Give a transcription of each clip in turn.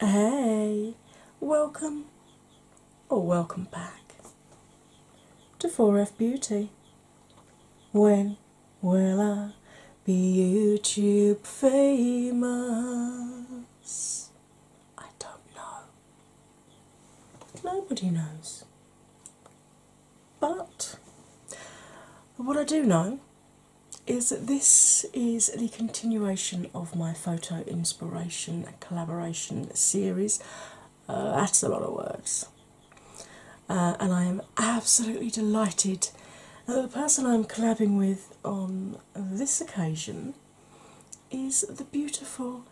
Hey, welcome or welcome back to 4F Beauty. When will I be YouTube famous? I don't know. Nobody knows. But what I do know is that this is the continuation of my photo inspiration collaboration series. Uh, that's a lot of words. Uh, and I am absolutely delighted the person I'm collabing with on this occasion is the beautiful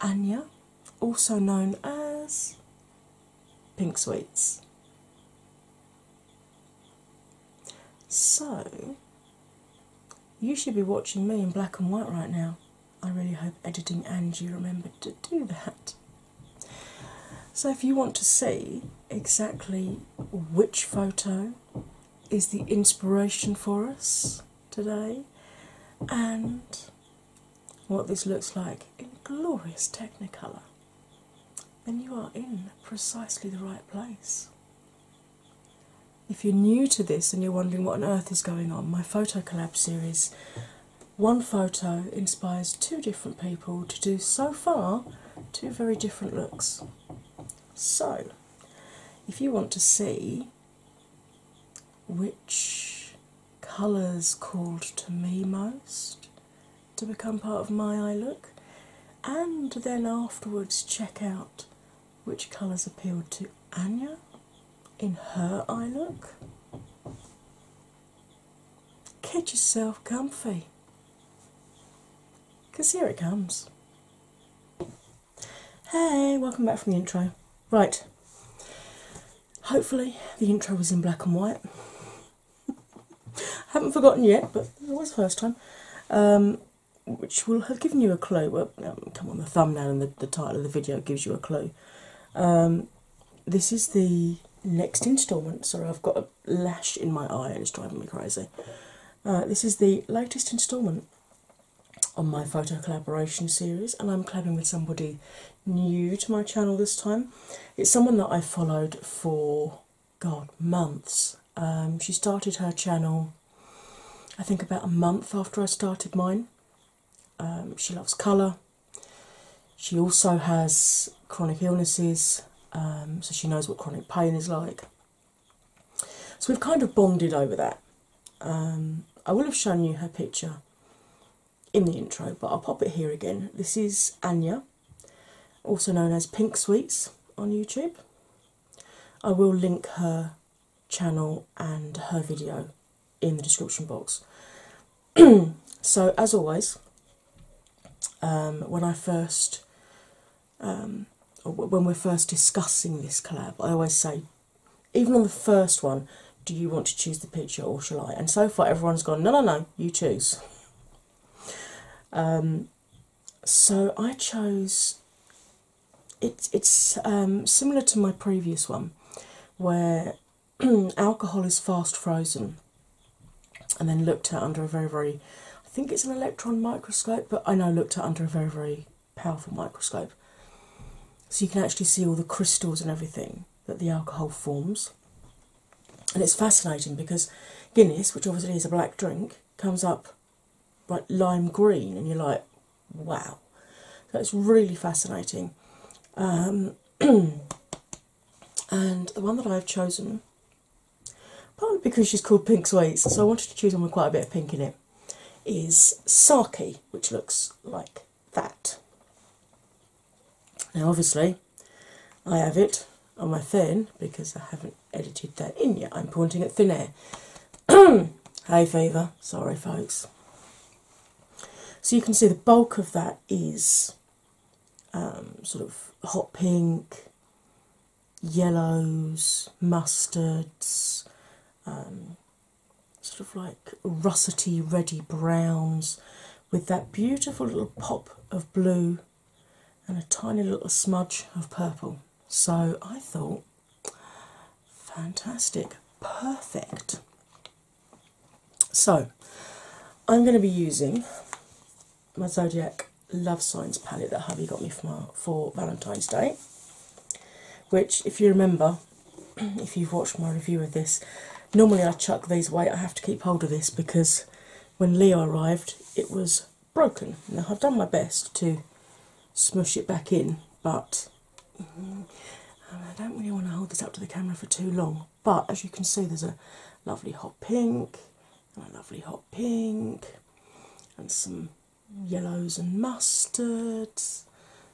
Anya, also known as Pink Sweets. So, you should be watching me in black and white right now. I really hope editing Angie remembered to do that. So, if you want to see exactly which photo is the inspiration for us today and what this looks like in glorious Technicolor, then you are in precisely the right place. If you're new to this and you're wondering what on earth is going on, my photo collab series one photo inspires two different people to do so far two very different looks. So, if you want to see which colours called to me most to become part of my eye look, and then afterwards check out which colours appealed to Anya in her eye look. Get yourself comfy. Because here it comes. Hey, welcome back from the intro. Right, hopefully the intro was in black and white. Haven't forgotten yet, but it was the first time. Um, which will have given you a clue. Um, come on, the thumbnail and the, title of the video gives you a clue. Um, this is the next instalment. Sorry, I've got a lash in my eye and it's driving me crazy. Uh, this is the latest instalment on my photo collaboration series, and I'm collabing with somebody new to my channel this time. It's someone that I followed for God months. Um, she started her channel, I think, about a month after I started mine. Um, she loves colour. She also has chronic illnesses, um, so she knows what chronic pain is like. So we've kind of bonded over that. Um, I will have shown you her picture in the intro, but I'll pop it here again. This is Anya, also known as Pink Sweets on YouTube. I will link her channel and her video in the description box. so, as always, um, when I first, um, when we're first discussing this collab, I always say, even on the first one, do you want to choose the picture or shall I? And so far, everyone's gone, no, no, no, you choose. Um, so I chose. It, it's similar to my previous one, where alcohol is fast frozen and then looked at under a very, very, I think it's an electron microscope, but I know looked at under a very, very powerful microscope. So you can actually see all the crystals and everything that the alcohol forms. And it's fascinating because Guinness, which obviously is a black drink, comes up like lime green, and you're like, wow. That's really fascinating. Um, and the one that I've chosen, partly because she's called Pink Sweets, so I wanted to choose one with quite a bit of pink in it, is Saki, which looks like that. Now, obviously, I have it on my phone because I haven't edited that in yet. I'm pointing at thin air. hey, fever. Sorry, folks. So you can see the bulk of that is um, sort of hot pink, yellows, mustards, um, sort of like russety, reddy browns, with that beautiful little pop of blue and a tiny little smudge of purple. So I thought, fantastic, perfect. So I'm going to be using my Zodiac Love Signs palette that Harvey got me for Valentine's Day. Which, if you remember, if you've watched my review of this, normally I chuck these away. I have to keep hold of this because when Leo arrived, it was broken. Now, I've done my best to smush it back in, but mm, I don't really want to hold this up to the camera for too long but as you can see, there's a lovely hot pink, and a lovely hot pink, and some yellows and mustards,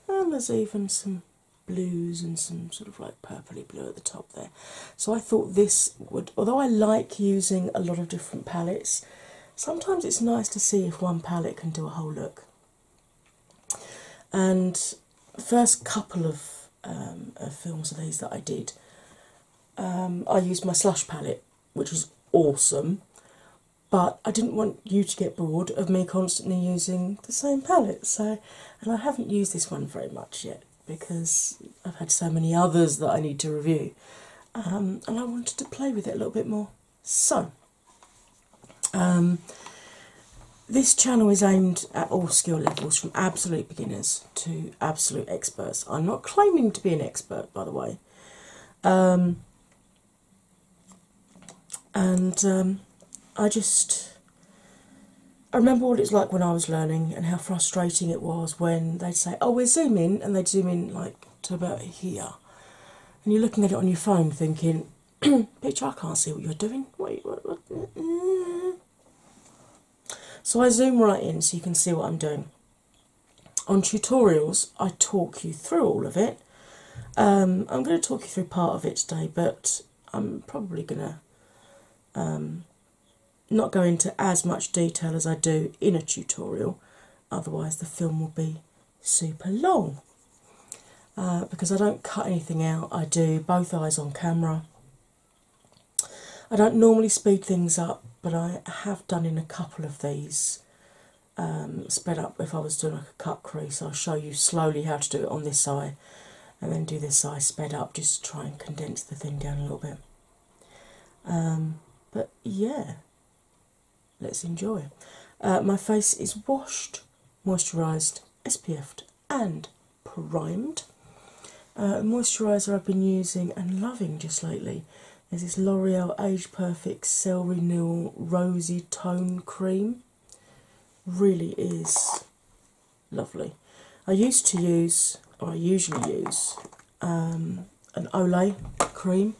and there's even some blues and some sort of like purpley blue at the top there. So I thought this would, although I like using a lot of different palettes, sometimes it's nice to see if one palette can do a whole look. And first couple of of, um, of films of these that I did. Um, I used my slush palette, which was awesome, but I didn't want you to get bored of me constantly using the same palette. So, and I haven't used this one very much yet because I've had so many others that I need to review, um, and I wanted to play with it a little bit more. So, um, this channel is aimed at all skill levels from absolute beginners to absolute experts. I'm not claiming to be an expert, by the way. Um, and um, I just I remember what it's like when I was learning and how frustrating it was when they'd say, "Oh, we're zooming," and they'd zoom in like to about here, and you're looking at it on your phone, thinking, "Picture, I can't see what you're doing." What, what, what? So I zoom right in so you can see what I'm doing. On tutorials, I talk you through all of it. Um, I'm going to talk you through part of it today, but I'm probably going to um, not go into as much detail as I do in a tutorial, otherwise, the film will be super long. Uh, because I don't cut anything out, I do both eyes on camera I don't normally speed things up, but I have done in a couple of these um, sped up if I was doing a cut crease. I'll show you slowly how to do it on this eye and then do this eye sped up just to try and condense the thing down a little bit. Um, but yeah, let's enjoy. Uh, my face is washed, moisturised, SPF'd, and primed. Uh, moisturiser I've been using and loving just lately is this L'Oreal Age Perfect Cell Renewal Rosy Tone Cream. Really is lovely. I used to use, or I usually use, um, an Olay cream,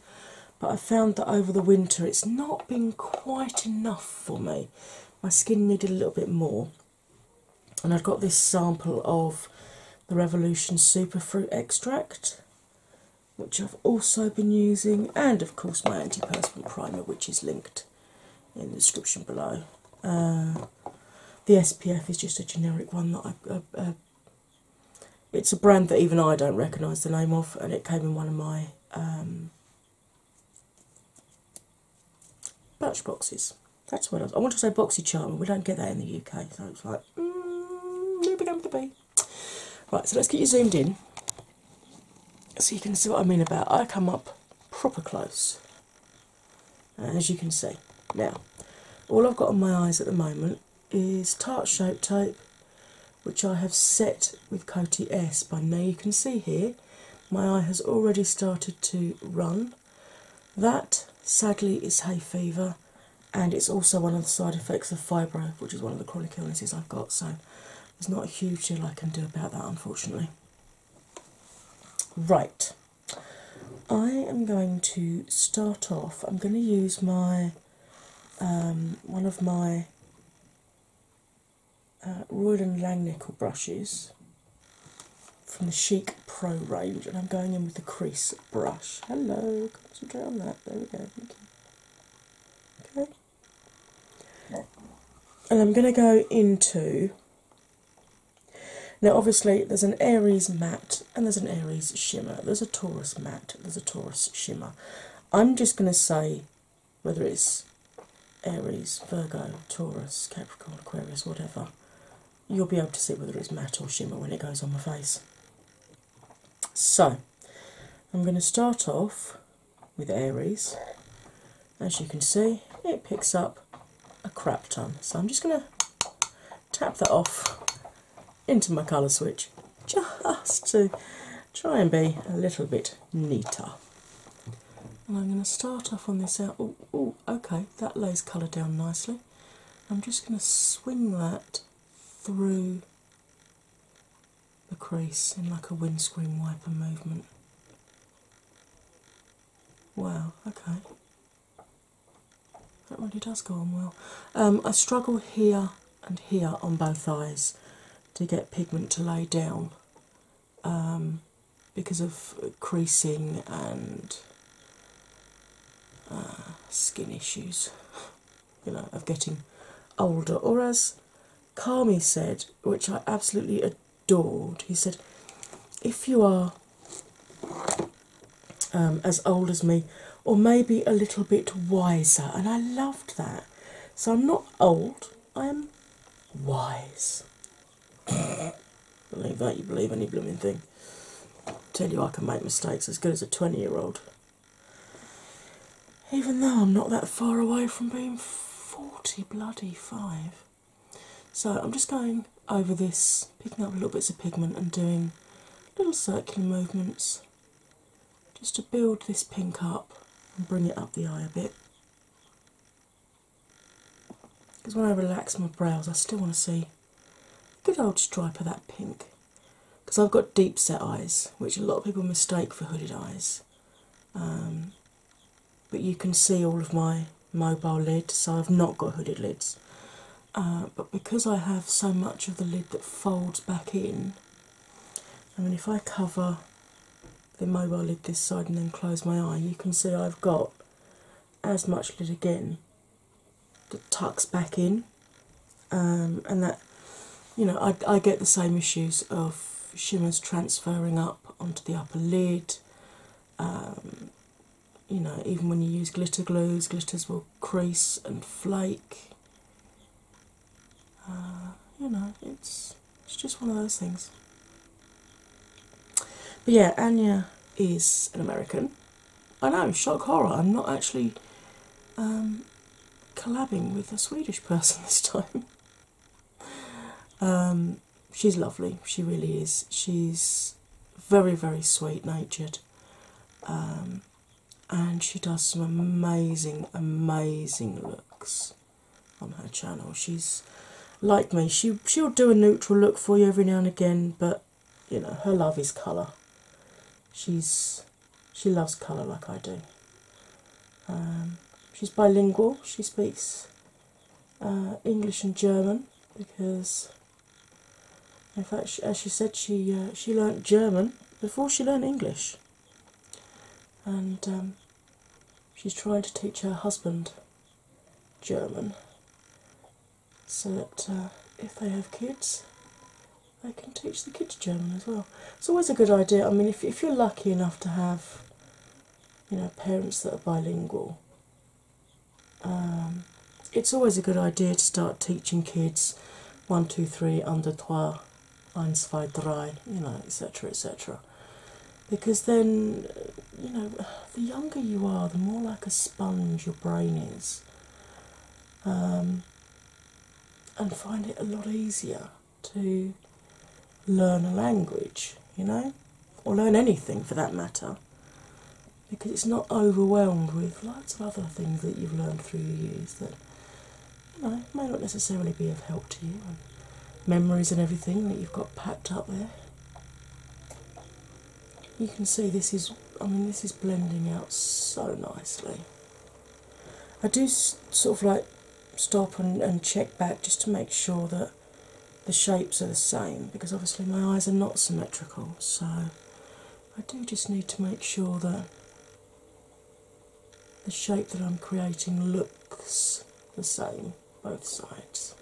but I found that over the winter it's not been quite enough for me. My skin needed a little bit more and I have got this sample of the Revolution Super Fruit extract, which I've also been using, and of course my anti-perspirant primer, which is linked in the description below. Uh, the SPF is just a generic one that I. Uh, it's a brand that even I don't recognise the name of, and it came in one of my um, Birch boxes. That's what I, want to say boxy charm, we don't get that in the UK, so it's like mm, Right, so let's get you zoomed in so you can see what I mean about. I come up proper close, as you can see. Now, all I've got on my eyes at the moment is tart shape tape, which I have set with Coty S. By now, you can see here my eye has already started to run that sadly is hay fever, and it's also one of the side effects of fibro, which is one of the chronic illnesses I've got. So there's not a huge deal I can do about that, unfortunately. Right, I am going to start off. I'm going to use my um, one of my uh, and Langnickel brushes from the Chic Pro range, and I'm going in with the crease brush. Hello, concentrate on that. There we go. Okay. And I'm going to go into. Now, obviously, there's an Aries matte and there's an Aries shimmer. There's a Taurus matte, there's a Taurus shimmer. I'm just going to say whether it's Aries, Virgo, Taurus, Capricorn, Aquarius, whatever you'll be able to see whether it's matte or shimmer when it goes on my face. So, I'm going to start off with Aries. As you can see, it picks up a crap ton. So, I'm just going to tap that off into my colour switch just to try and be a little bit neater. And I'm going to start off on this uh, out. Oh, okay, that lays colour down nicely. I'm just going to swing that through the crease in like a windscreen wiper movement. Wow, okay. That really does go on well. Um, I struggle here and here on both eyes to get pigment to lay down um, because of creasing and Ah, skin issues, you know, of getting older. Or as Kami said, which I absolutely adored, he said, if you are um, as old as me, or maybe a little bit wiser, and I loved that. So I'm not old, I'm wise. Believe that you believe any blooming thing. Tell you I can make mistakes as good as a 20 year old. Even though I'm not that far away from being 40 bloody five. So I'm just going over this, picking up little bits of pigment and doing little circular movements just to build this pink up and bring it up the eye a bit. Because when I relax my brows, I still want to see Good old stripe of that pink. Because I've got deep set eyes, which a lot of people mistake for hooded eyes. Um, but you can see all of my mobile lids, so I've not got hooded lids. Uh, but because I have so much of the lid that folds back in, I mean, if I cover the mobile lid this side and then close my eye, you can see I've got as much lid again tucks back in, um, and that you know I, I get the same issues of shimmers transferring up onto the upper lid. Um, you know, even when you use glitter glues, glitters will crease and flake. Uh, you know, it's it's just one of those things. But yeah, Anya is an American. I know, shock horror, I'm not actually um, collabing with a Swedish person this time. Um, she's lovely, she really is. She's very, very sweet natured. Um, and she does some amazing, amazing looks on her channel. She's like me, she she'll do a neutral look for you every now and again, but you know, her love is colour. She's she loves colour like I do. Um, she's bilingual. She speaks uh, English and German because, in fact, as she said, she uh, she learnt German before she learnt English, and um, she's trying to teach her husband German so that uh, if they have kids, they can teach the kids German as well. It's always a good idea. I mean, if, if you're lucky enough to have, you know, parents that are bilingual, um, it's always a good idea to start teaching kids one, two, three, under trois, eins, zwei, drei, you know, etc., etc. Because then, you know, the younger you are, the more like a sponge your brain is. Um, and find it a lot easier to learn a language, you know, or learn anything for that matter, because it's not overwhelmed with lots of other things that you've learned through the years that you know may not necessarily be of help to you, and memories and everything that you've got packed up there you can see this is i mean this is blending out so nicely i do sort of like stop and, and check back just to make sure that the shapes are the same because obviously my eyes are not symmetrical so i do just need to make sure that the shape that i'm creating looks the same both sides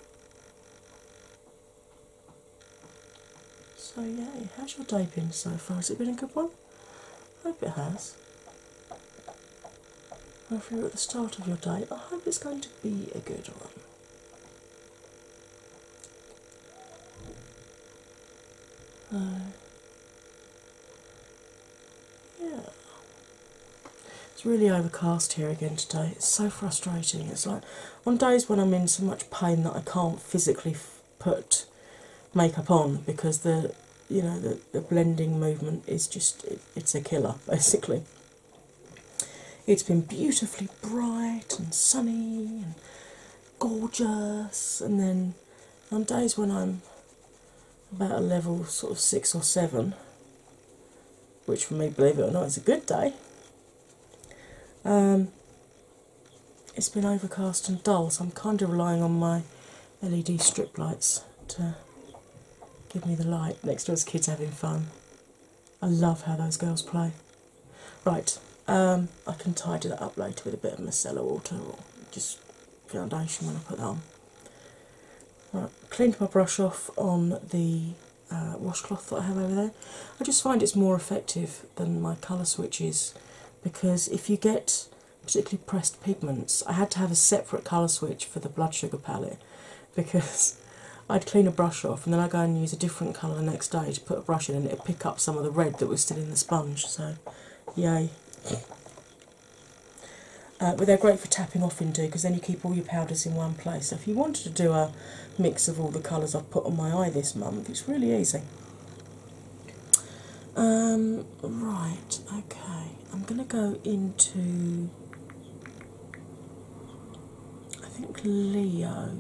so yay, how's your day been so far? Has it been a good one? I hope it has. Or if you're at the start of your day, I hope it's going to be a good one. Uh, yeah. It's really overcast here again today. It's so frustrating. It's like on days when I'm in so much pain that I can't physically put makeup on because the you know the, blending movement is just it's a killer basically. It's been beautifully bright and sunny and gorgeous, and then on days when I'm about a level sort of six or seven, which for me, believe it or not, is a good day. Um, it's been overcast and dull, so I'm kind of relying on my LED strip lights to give me the light. Next door's kids having fun. I love how those girls play. Right, um, I can tidy that up later with a bit of micellar water or just foundation when I put that on. Right, cleaned my brush off on the uh, washcloth that I have over there. I just find it's more effective than my colour switches because if you get particularly pressed pigments, I had to have a separate colour switch for the blood sugar palette because I'd clean a brush off and then I'd go and use a different colour the next day to put a brush in and it'd pick up some of the red that was still in the sponge. So, yay. Uh, but they're great for tapping off into because then you keep all your powders in one place. So if you wanted to do a mix of all the colours I've put on my eye this month. It's really easy. Um, right, okay, I'm going to go into I think Leo.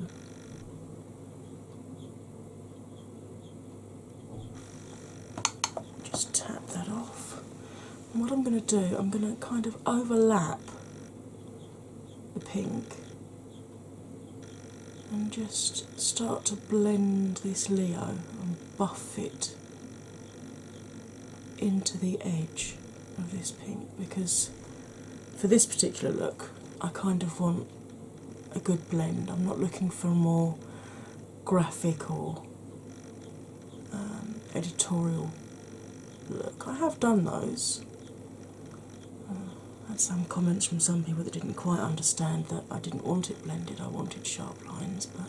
Just tap that off. what I'm going to do, I'm going to kind of overlap the pink and just start to blend this Leo and buff it into the edge of this pink because for this particular look I kind of want a good blend. I'm not looking for a more graphical, um, editorial look. I have done those uh, I had some comments from some people that didn't quite understand that I didn't want it blended, I wanted sharp lines, but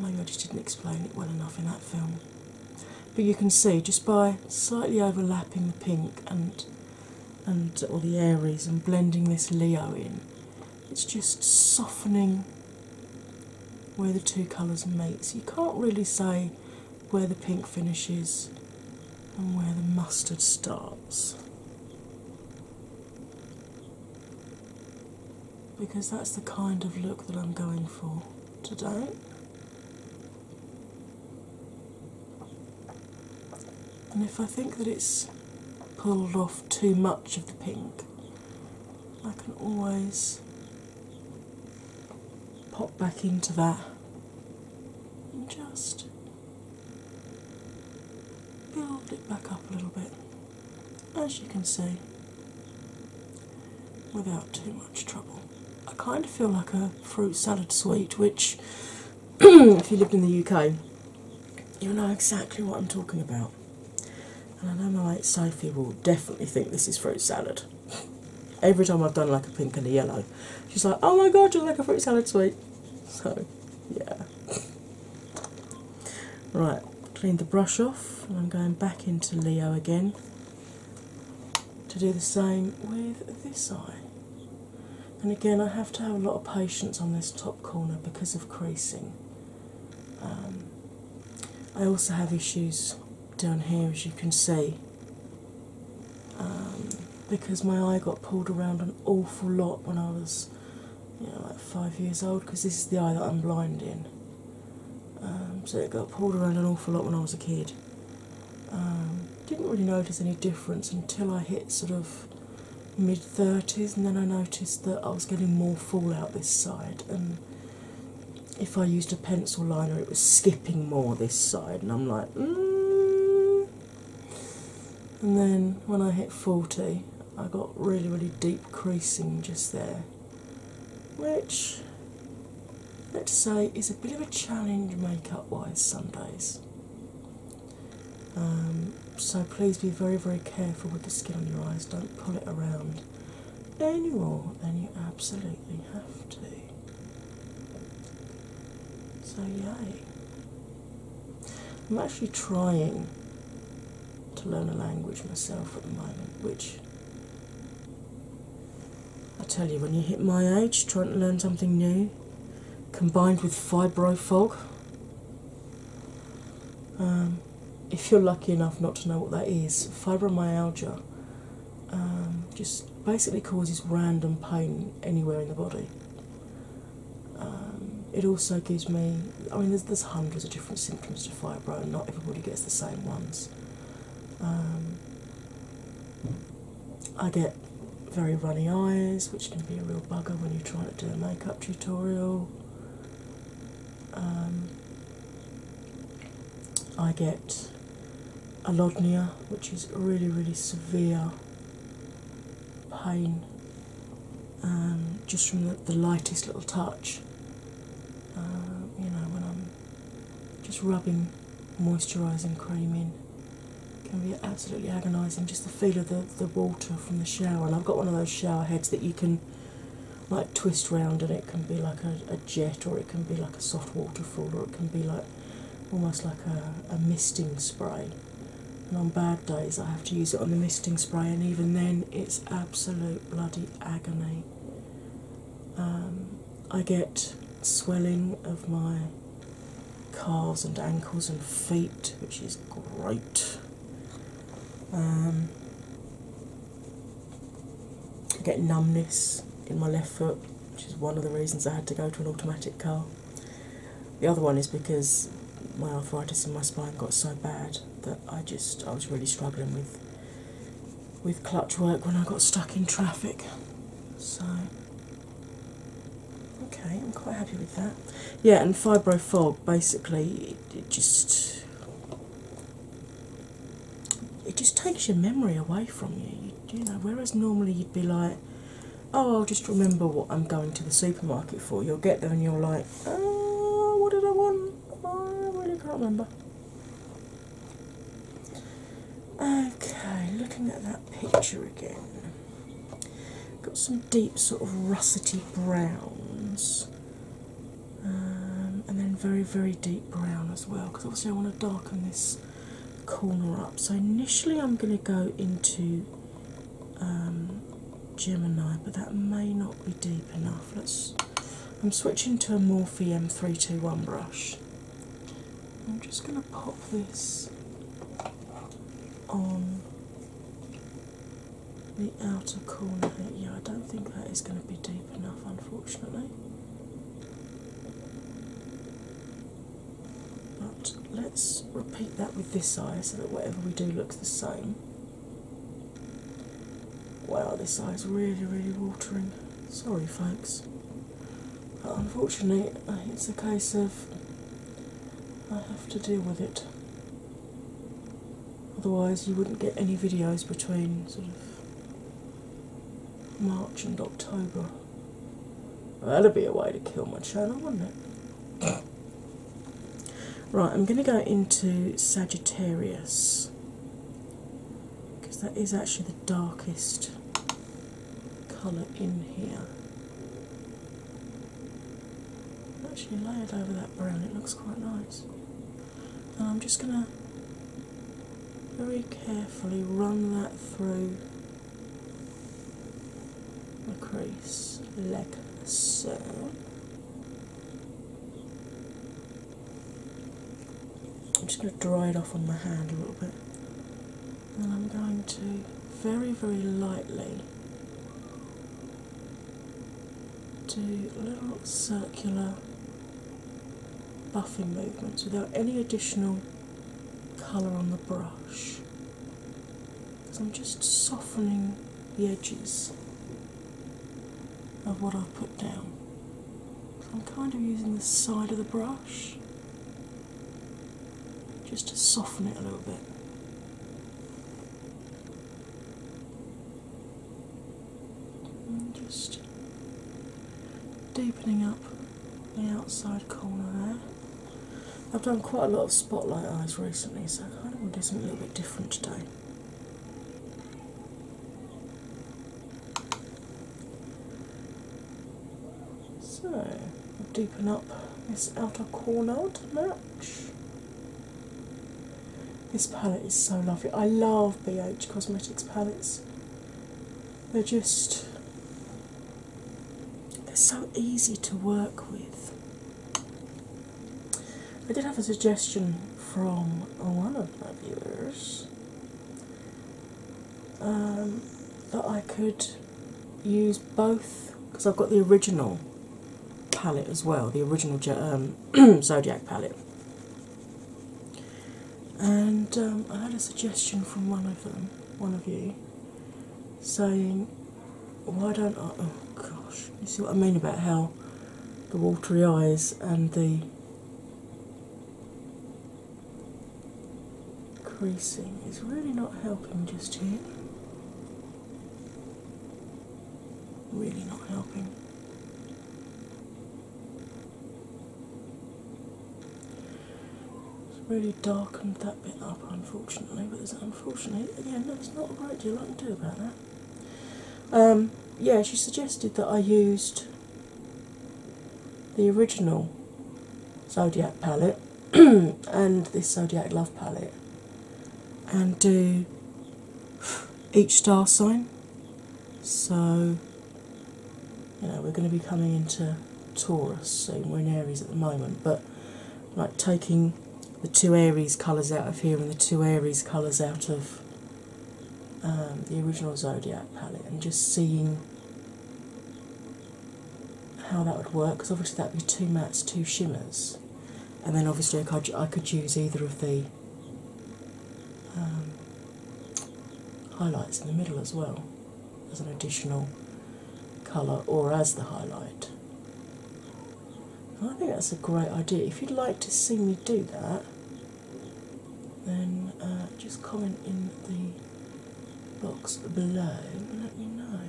maybe I just didn't explain it well enough in that film. But you can see just by slightly overlapping the pink and and or the Aries and blending this Leo in, it's just softening where the two colours meet. So you can't really say where the pink finishes and where the mustard starts. Because that's the kind of look that I'm going for today. And if I think that it's pulled off too much of the pink, I can always pop back into that and just build it back up a little bit, as you can see, without too much trouble. I kind of feel like a fruit salad sweet, which, if you lived in the UK, you'll know exactly what I'm talking about. And I know my mate Sophie will definitely think this is fruit salad every time I've done like a pink and a yellow, she's like, oh my god, you're like a fruit salad sweet. So, yeah. Right, clean the brush off, I'm going back into Leo again to do the same with this eye. And again, I have to have a lot of patience on this top corner because of creasing. Um, I also have issues down here, as you can see, um, because my eye got pulled around an awful lot when I was you like five years old because this is the eye that I'm blind in. Um, so it got pulled around an awful lot when I was a kid. Um, didn't really notice any difference until I hit sort of mid 30s, and then I noticed that I was getting more fallout this side. And if I used a pencil liner, it was skipping more this side, and I'm like, Mm. and then when I hit 40, I got really, really deep creasing just there, which let's say is a bit of a challenge makeup wise some days. Um, so please be very, very careful with the skin on your eyes, don't pull it around anymore than you absolutely have to. So, yay. I'm actually trying to learn a language myself at the moment, which I tell you, when you hit my age, trying to learn something new combined with fibro fog, um, if you're lucky enough not to know what that is, fibromyalgia um, just basically causes random pain anywhere in the body. Um, it also gives me, I mean, there's, there's hundreds of different symptoms to fibro, not everybody gets the same ones. Um, I get very runny eyes, which can be a real bugger when you're trying to do a makeup tutorial. I get alodnia, which is really, really severe pain, um, just from the, the lightest little touch. Um, you know, when I'm just rubbing moisturising cream in, can be absolutely agonising. Just the feel of the, the water from the shower, and I've got one of those shower heads that you can like twist round, and it can be like a, a jet, or it can be like a soft waterfall, or it can be like almost like a, misting spray. And on bad days, I have to use it on the misting spray, and even then, it's absolute bloody agony. Um, I get swelling of my calves and ankles and feet, which is great. Um, I get numbness in my left foot, which is one of the reasons I had to go to an automatic car. The other one is because my arthritis in my spine got so bad that I just I was really struggling with with clutch work when I got stuck in traffic. So okay, I'm quite happy with that. Yeah, and fibro fog basically it, just it just takes your memory away from you. You know, whereas normally you'd be like, oh, I'll just remember what I'm going to the supermarket for. You'll get there and you're like, oh, what did I want? I really can't remember. Okay, looking at that picture again. Got some deep, sort of russety browns, um, and then very, very deep brown as well. Because obviously, I want to darken this corner up. So initially, I'm going to go into um, Gemini, but that may not be deep enough. Let's. I'm switching to a Morphe M321 brush. I'm just going to pop this on the outer corner here. Yeah, I don't think that is going to be deep enough, unfortunately. But let's repeat that with this eye so that whatever we do looks the same. Wow, this eye is really, really watering. Sorry, folks. But unfortunately, uh, it's a case of I have to deal with it. Otherwise, you wouldn't get any videos between sort of March and October that would be a way to kill my channel, wouldn't it? right, I'm going to go into Sagittarius because that is actually the darkest colour in here. Actually, layered over that brown, it looks quite nice. And I'm just going to very carefully run that through a crease like so. I'm just going to dry it off on my hand a little bit, and I'm going to very, very lightly do little circular buffing movements without any additional colour on the brush. So I'm just softening the edges of what I've put down. I'm kind of using the side of the brush just to soften it a little bit. I'm just deepening up the outside corner there. I've done quite a lot of spotlight eyes recently, so I kind of want to do something a little bit different today. So, I'll deepen up this outer corner to match. This palette is so lovely. I love BH Cosmetics palettes. They're just they're so easy to work with. I did have a suggestion from one of my viewers um, that I could use both because I've got the original palette as well, the original um, Zodiac palette. And um, I had a suggestion from one of them, one of you, saying, Why don't I? Oh gosh, you see what I mean about how the watery eyes and the creasing is really not helping just here. Really not helping. It's really darkened that bit up, unfortunately. But it's unfortunately, again, there's not a great deal I can do about that. Um, yeah, she suggested that I used the original Zodiac palette and this Zodiac Love palette and do each star sign. So, you know, we're going to be coming into Taurus, so we're in Aries at the moment, but like taking the two Aries colours out of here and the two Aries colours out of um, the original Zodiac palette and just seeing how that would work because obviously that would be two mattes, two shimmers, and then obviously I could, I could use either of the um, highlights in the middle as well as an additional colour or as the highlight. I think that's a great idea. If you'd like to see me do that, then uh, just comment in the box below and let me know.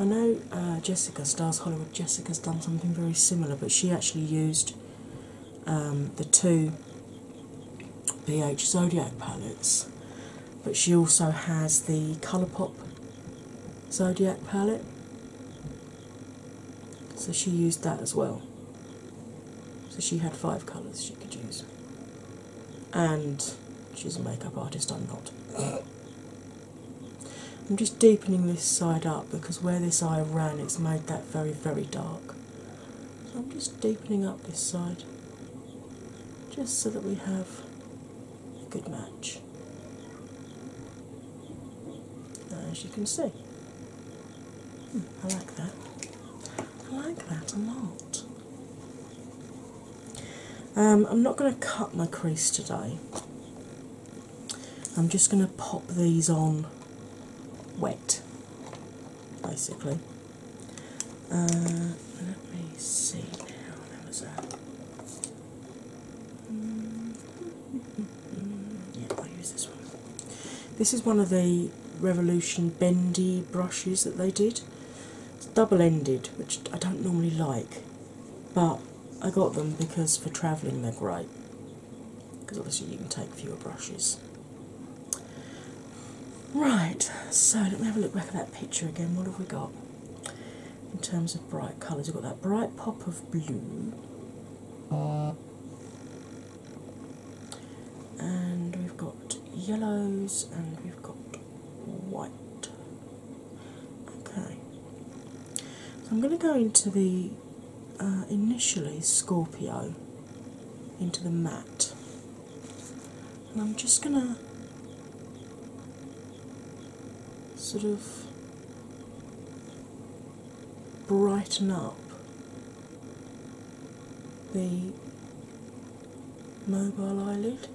I know uh, Jessica Stars Hollywood. Jessica's done something very similar, but she actually used um, the two BH Zodiac palettes but she also has the Colourpop Zodiac palette, so she used that as well. So she had five colours she could use, and she's a makeup artist, I'm not. I'm just deepening this side up because where this eye ran it's made that very, very dark. So I'm just deepening up this side just so that we have a good match. Uh, as you can see, hmm, I like that. I like that a lot. Um, I'm not going to cut my crease today. I'm just going to pop these on wet, basically, uh, let me see now. That was a. yeah, i use this one. This is one of the Revolution bendy brushes that they did. It's double ended, which I don't normally like, but I got them because for travelling they're great. Because obviously you can take fewer brushes. Right, so let me have a look back at that picture again. What have we got? in terms of bright colours. You've got that bright pop of blue, and we've got yellows, and we've got white. Okay, so I'm going to go into the uh, initially Scorpio, into the matte and I'm just gonna sort of brighten up the mobile eyelid.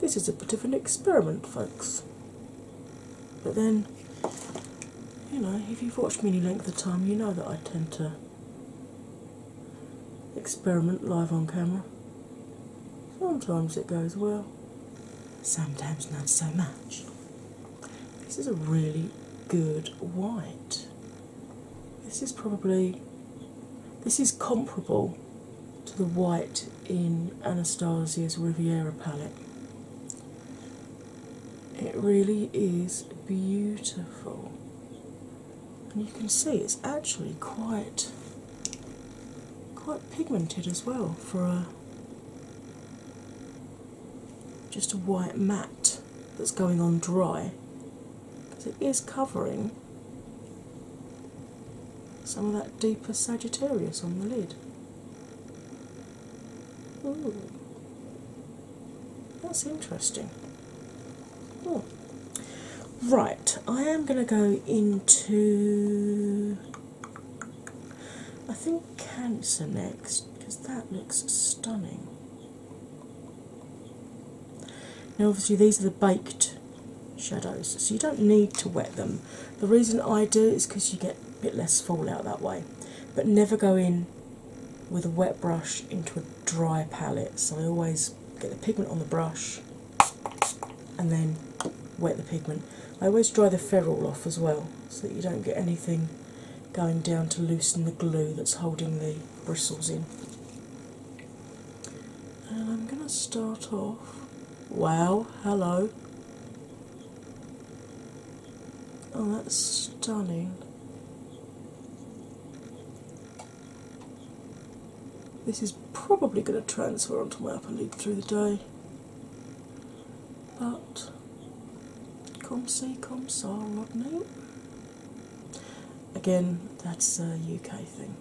This is a bit of an experiment, folks. But then, you know, if you've watched me any length of time, you know that I tend to experiment live on camera. Sometimes it goes well, sometimes not so much. This is a really good white. This is probably this is comparable to the white in Anastasia's Riviera palette. It really is beautiful. And you can see it's actually quite quite pigmented as well for a just a white matte that's going on dry because it is covering some of that deeper Sagittarius on the lid. That's interesting. Right, I am going to go into. I think Cancer next because that looks stunning. Now, obviously, these are the baked shadows, so you don't need to wet them. The reason I do is because you get bit, bit less fallout that way. But never go in with a wet brush into a dry palette. So I always get the pigment on the brush and then wet the pigment. I always dry the ferrule off as well so that you don't get anything going down to loosen the glue that's holding the bristles in. And I'm going to start off. Wow, hello. Oh, that's stunning. This is probably going to transfer onto my upper lid through the day, but come see, come saw, Again, that's a UK thing.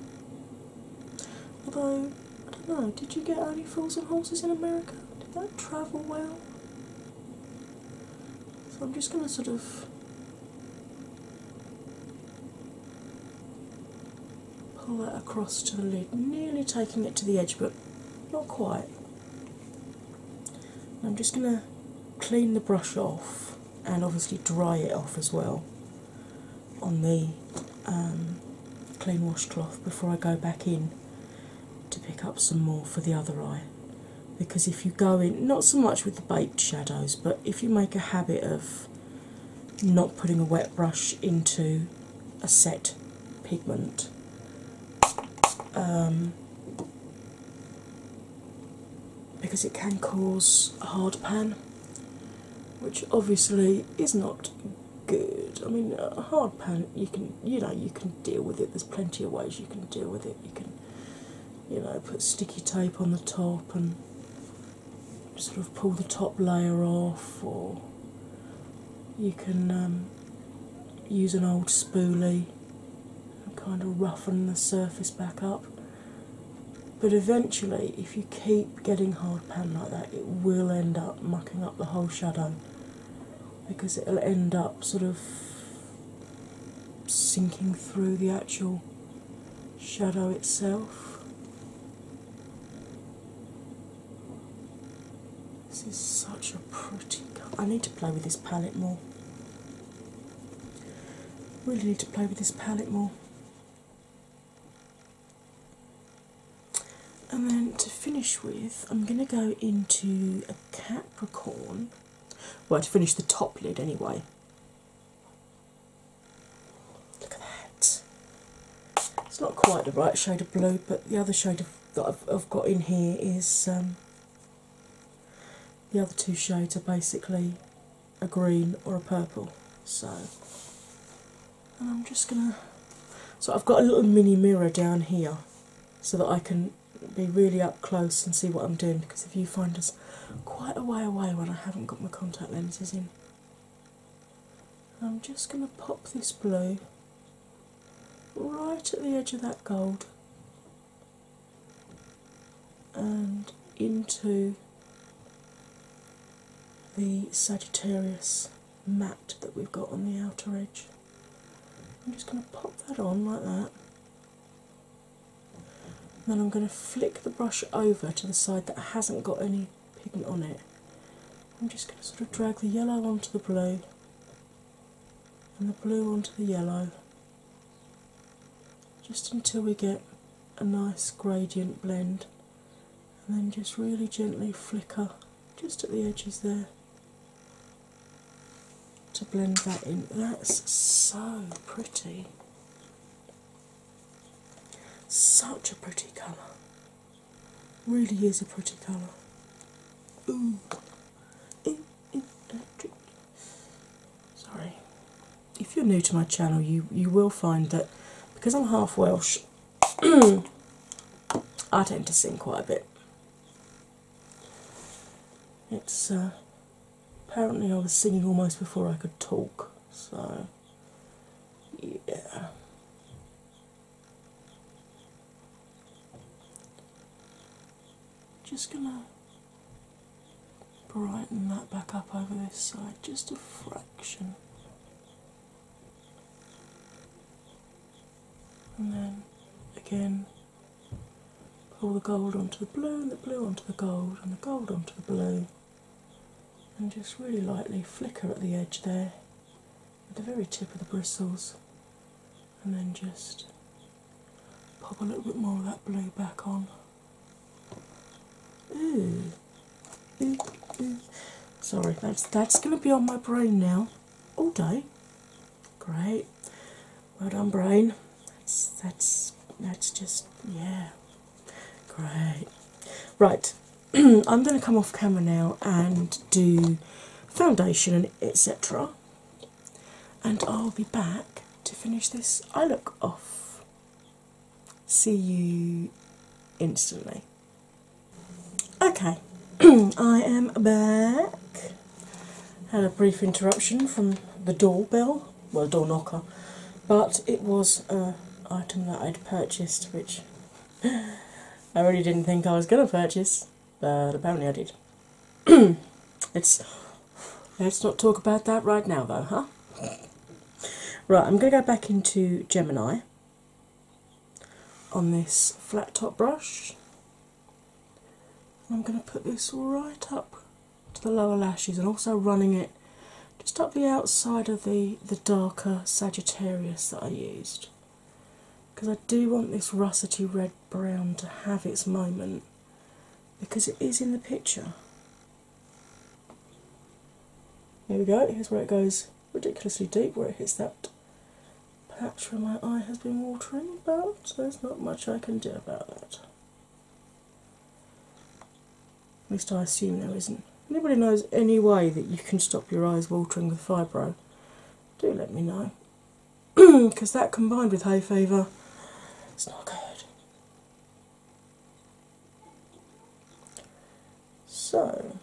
Although I don't know, did you get any fools and horses in America? Did that travel well? So I'm just going to sort of pull that across to the lid, nearly taking it to the edge, but not quite. I'm just going to clean the brush off and obviously dry it off as well on the um, clean washcloth before I go back in to pick up some more for the other eye. Because if you go in, not so much with the baked shadows, but if you make a habit of not putting a wet brush into a set pigment, um, because it can cause a hard pan, which obviously is not good. I mean, a hard palette you can you know you can deal with it. There's plenty of ways you can deal with it. You can you know put sticky tape on the top and sort of pull the top layer off, or you can um, use an old spoolie and kind of roughen the surface back up. But eventually, if you keep getting hard pan like that, it will end up mucking up the whole shadow because it'll end up sort of sinking through the actual shadow itself. This is such a pretty I need to play with this palette more. Really need to play with this palette more. And then to finish with, I'm going to go into a Capricorn. Well, to finish the top lid anyway. Look at that. It's not quite the right shade of blue, but the other shade that I've, got in here is. Um, the other two shades are basically a green or a purple. So, I'm just gonna. So I've got a little mini mirror down here so that I can be really up close and see what I'm doing because if you find us quite a way away when I haven't got my contact lenses in. I'm just going to pop this blue right at the edge of that gold and into the Sagittarius Mat that we've got on the outer edge. I'm just going to pop that on like that. then I'm going to flick the brush over to the side that hasn't got any pigment on it. I'm just going to sort of drag the yellow onto the blue and the blue onto the yellow just until we get a nice gradient blend and then just really gently flicker just at the edges there to blend that in. That's so pretty. Such a pretty colour. Really is a pretty colour. Ooh. Sorry. If you're new to my channel, you, you will find that because I'm half Welsh, I tend to sing quite a bit. It's uh, apparently I was singing almost before I could talk, so yeah. Just gonna brighten that back up over this side just a fraction and then again pull the gold onto the blue, and the blue onto the gold, and the gold onto the blue, and just really lightly flicker at the edge there at the very tip of the bristles, and then just pop a little bit more of that blue back on. Ooh. Ooh, ooh. Sorry, that's that's gonna be on my brain now all day. Great. Well done, brain. That's that's that's just yeah. Great. Right. I'm going to come off camera now and do foundation etc. And I'll be back to finish this I look off. See you instantly. Okay, I am back. Had a brief interruption from the doorbell, well, door knocker, but it was an item that I'd purchased, which I really didn't think I was going to purchase, but apparently I did. it's let's not talk about that right now, though, huh? Right, I'm going to go back into Gemini on this flat top brush I'm going to put this right up to the lower lashes and also running it just up the outside of the, the darker Sagittarius that I used because I do want this russety red brown to have its moment because it is in the picture. Here we go, here's where it goes ridiculously deep, where it hits that patch my eye has been watering, but there's not much I can do about that. At least I assume there isn't. Anybody knows any way that you can stop your eyes watering with fibro? Do let me know, because that combined with hay fever, it's not good. So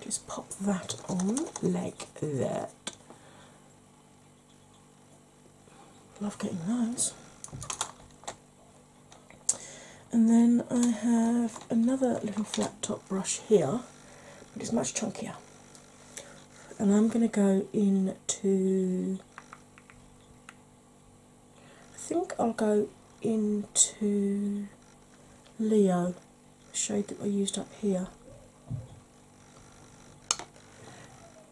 just pop that on like that. Love getting those. And then I have another little flat top brush here, but it's much chunkier. And I'm going to go into, I think I'll go into Leo shade that I used up here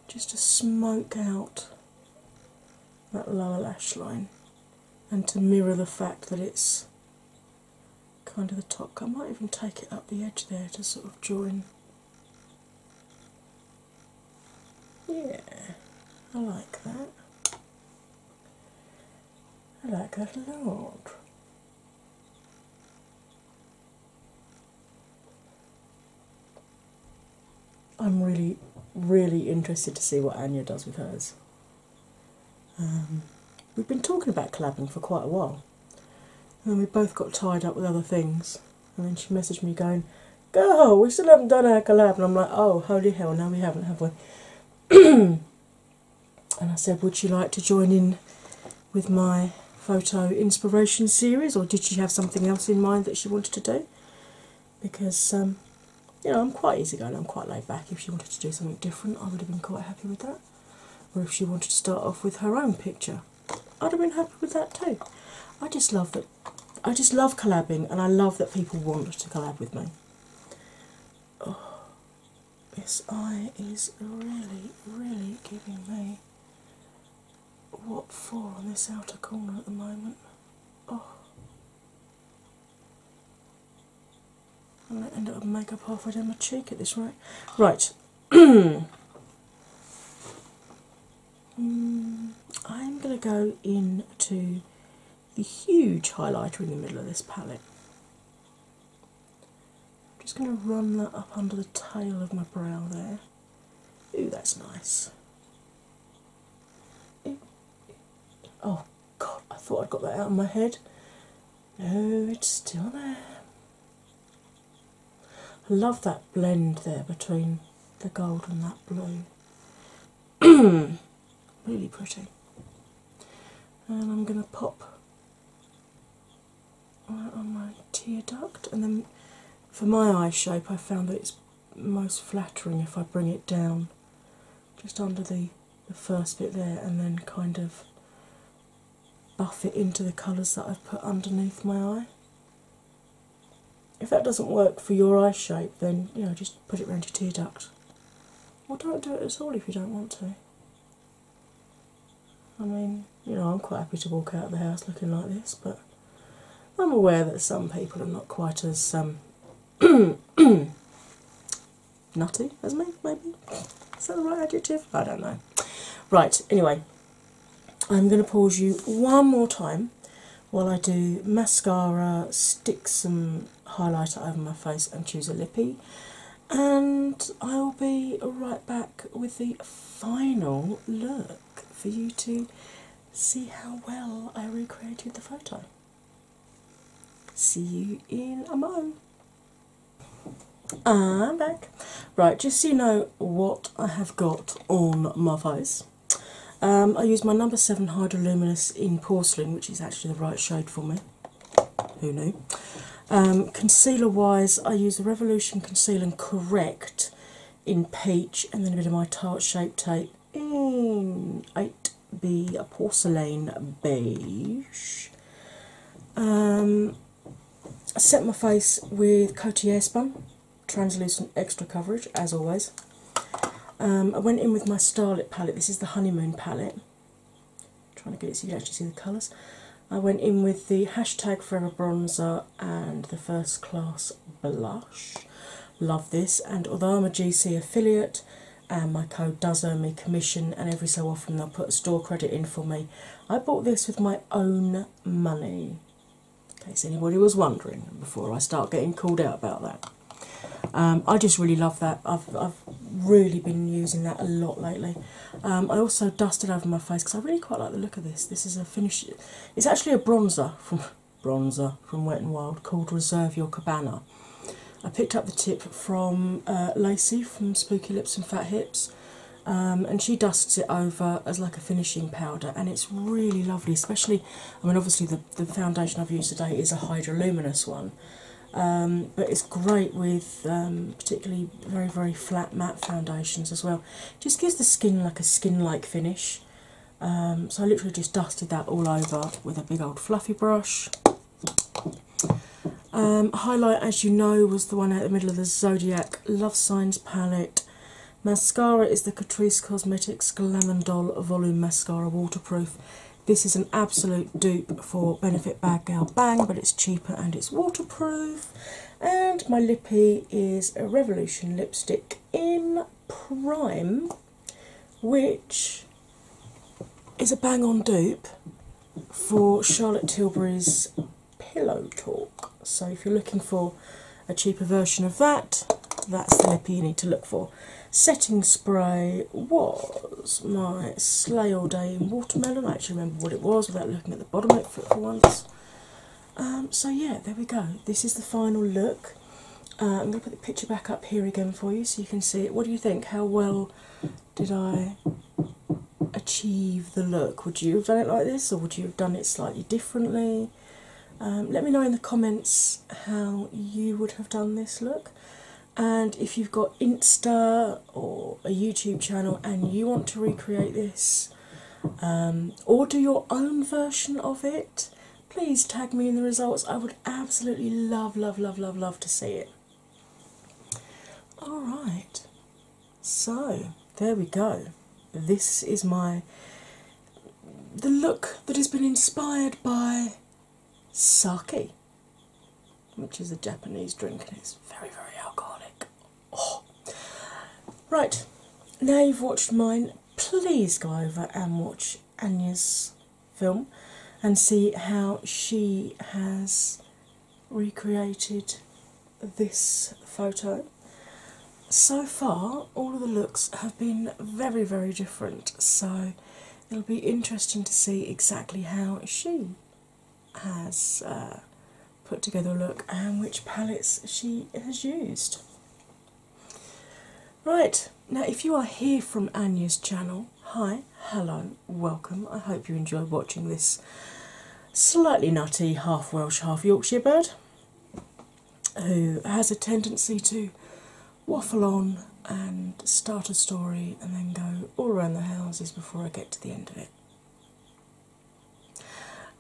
just to smoke out that lower lash line and to mirror the fact that it's kind of the top. I might even take it up the edge there to sort of join. Yeah, I like that. I like that a lot. I'm really, really interested to see what Anya does with hers. Um, we've been talking about collabing for quite a while, and we both got tied up with other things. And then she messaged me going, "Girl, we still haven't done our collab," and I'm like, "Oh, holy hell, Now we haven't, have one." and I said, Would you like to join in with my photo inspiration series, or did she have something else in mind that she wanted to do? Because, um, you know, I'm quite easygoing, I'm quite laid back. If she wanted to do something different, I would have been quite happy with that. Or if she wanted to start off with her own picture, I'd have been happy with that too. I just love that. I just love collabing, and I love that people want to collab with me. Oh, this eye is really, really giving me what for on this outer corner at the moment. Oh. I'm going to end up with makeup halfway down my cheek at this rate. Right. Hmm, I'm going to go into the huge highlighter in the middle of this palette. I'm just going to run that up under the tail of my brow there. Ooh, that's nice. Oh god, I thought I'd got that out of my head. No, it's still there. I love that blend there between the gold and that blue. really pretty. And I'm going to pop on my tear duct, and then for my eye shape, I found that it's most flattering if I bring it down just under the, the first bit there, and then kind of buff it into the colours that I've put underneath my eye. If that doesn't work for your eye shape, then you know just put it around your tear duct, or don't do it at all if you don't want to. I mean, you know, I'm quite happy to walk out of the house looking like this, but I'm aware that some people are not quite as um, nutty as me, maybe. Is that the right adjective? I don't know. Right, anyway, I'm going to pause you one more time while I do mascara, stick some highlighter over my face, and choose a lippy and I'll be right back with the final look for you to see how well I recreated the photo. See you in a mo. I'm back. Right, just so you know what I have got on my face. Um, I use my number seven Hydroluminous in porcelain, which is actually the right shade for me. Who knew? Um, concealer wise, I use the Revolution Conceal Correct in peach and then a bit of my Tarte Shape Tape in 8 a Porcelain Beige. Um, I set my face with Coty Airspun translucent extra coverage as always. Um, I went in with my Starlit palette, this is the Honeymoon palette trying to get it so you can actually see the colours. I went in with the hashtag Forever Bronzer and the First Class Blush. Love this, and although I'm a GC affiliate and my code does earn me commission, and every so often they'll put store credit in for me, I bought this with my own money. In case anybody was wondering before I start getting called out about that. Um, I just really love that. I've, I've really been using that a lot lately. Um, I also dusted over my face because I really quite like the look of this. This is a finish. It's actually a bronzer from bronzer from Wet and Wild called Reserve Your Cabana. I picked up the tip from uh, Lacey from Spooky Lips and Fat Hips, um, and she dusts it over as like a finishing powder, and it's really lovely. Especially, I mean, obviously the the foundation I've used today is a Hydraluminous one. Um, but it's great with um, particularly very very flat matte foundations as well. Just gives the skin like a skin-like finish. Um, so I literally just dusted that all over with a big old fluffy brush. Um, highlight, as you know, was the one at the middle of the Zodiac Love Signs palette. Mascara is the Catrice Cosmetics Glamandol Volume Mascara Waterproof. This is an absolute dupe for Benefit Bad Girl Bang, but it's cheaper and it's waterproof. And my lippy is a Revolution lipstick in Prime, which is a bang on dupe for Charlotte Tilbury's Pillow Talk. So, if you're looking for a cheaper version of that, that's the lippy you need to look for. Setting spray was my Slay All Day in Watermelon. I actually remember what it was without looking at bottom of it for, once. Um, so, yeah, there we go. This is the final look. Uh, I'm going to put the picture back up here again for you so you can see it. What do you think? How well did I achieve the look? Would you have done it like this or would you have done it slightly differently? Um, let me know in the comments how you would have done this look. And if you've got Insta or a YouTube channel and you want to recreate this um, or do your own version of it, please tag me in the results. I would absolutely love, love, love, love, love to see it. Alright, so there we go. This is my. The look that has been inspired by sake, which is a Japanese drink and it's very, very alcoholic. Oh. Right, now you've watched mine, please go over and watch Anya's film and see how she has recreated this photo. So far, all of the looks have been very, very different, so it'll be interesting to see exactly how she has uh, put together a look and which palettes she has used. Right, now if you are here from Anya's channel, hi, hello, welcome. I hope you enjoyed watching this slightly nutty half Welsh, half Yorkshire bird who has a tendency to waffle on and start a story and then go all around the houses before I get to the end of it.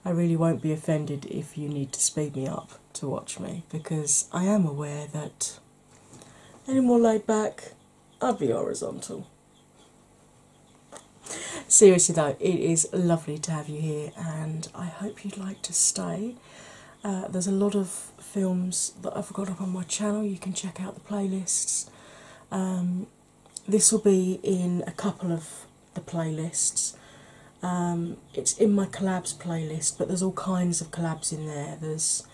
I really won't be offended if you need to speed me up to watch me because I am aware that any more laid back, I'd be horizontal. Seriously though, it is lovely to have you here and I hope you'd like to stay. Uh, there's a lot of films that I've got up on my channel, you can check out the playlists. Um, this will be in a couple of the playlists. Um, it's in my collabs playlist, but there's all kinds of collabs in there. There's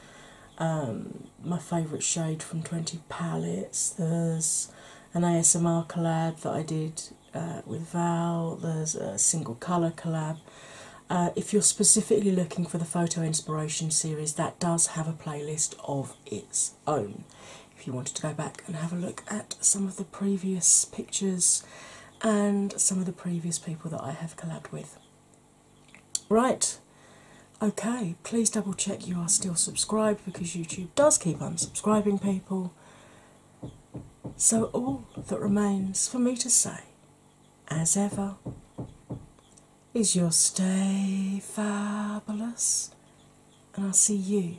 um, my favourite shade from 20 Palettes, there's an ASMR collab that I did uh, with Val, there's a single colour collab. Uh, if you're specifically looking for the photo inspiration series, that does have a playlist of its own. If you wanted to go back and have a look at some of the previous pictures and some of the previous people that I have collabed with. Right, okay, please double check you are still subscribed because YouTube does keep unsubscribing people. So, all that remains for me to say, as ever, is your stay fabulous, and I'll see you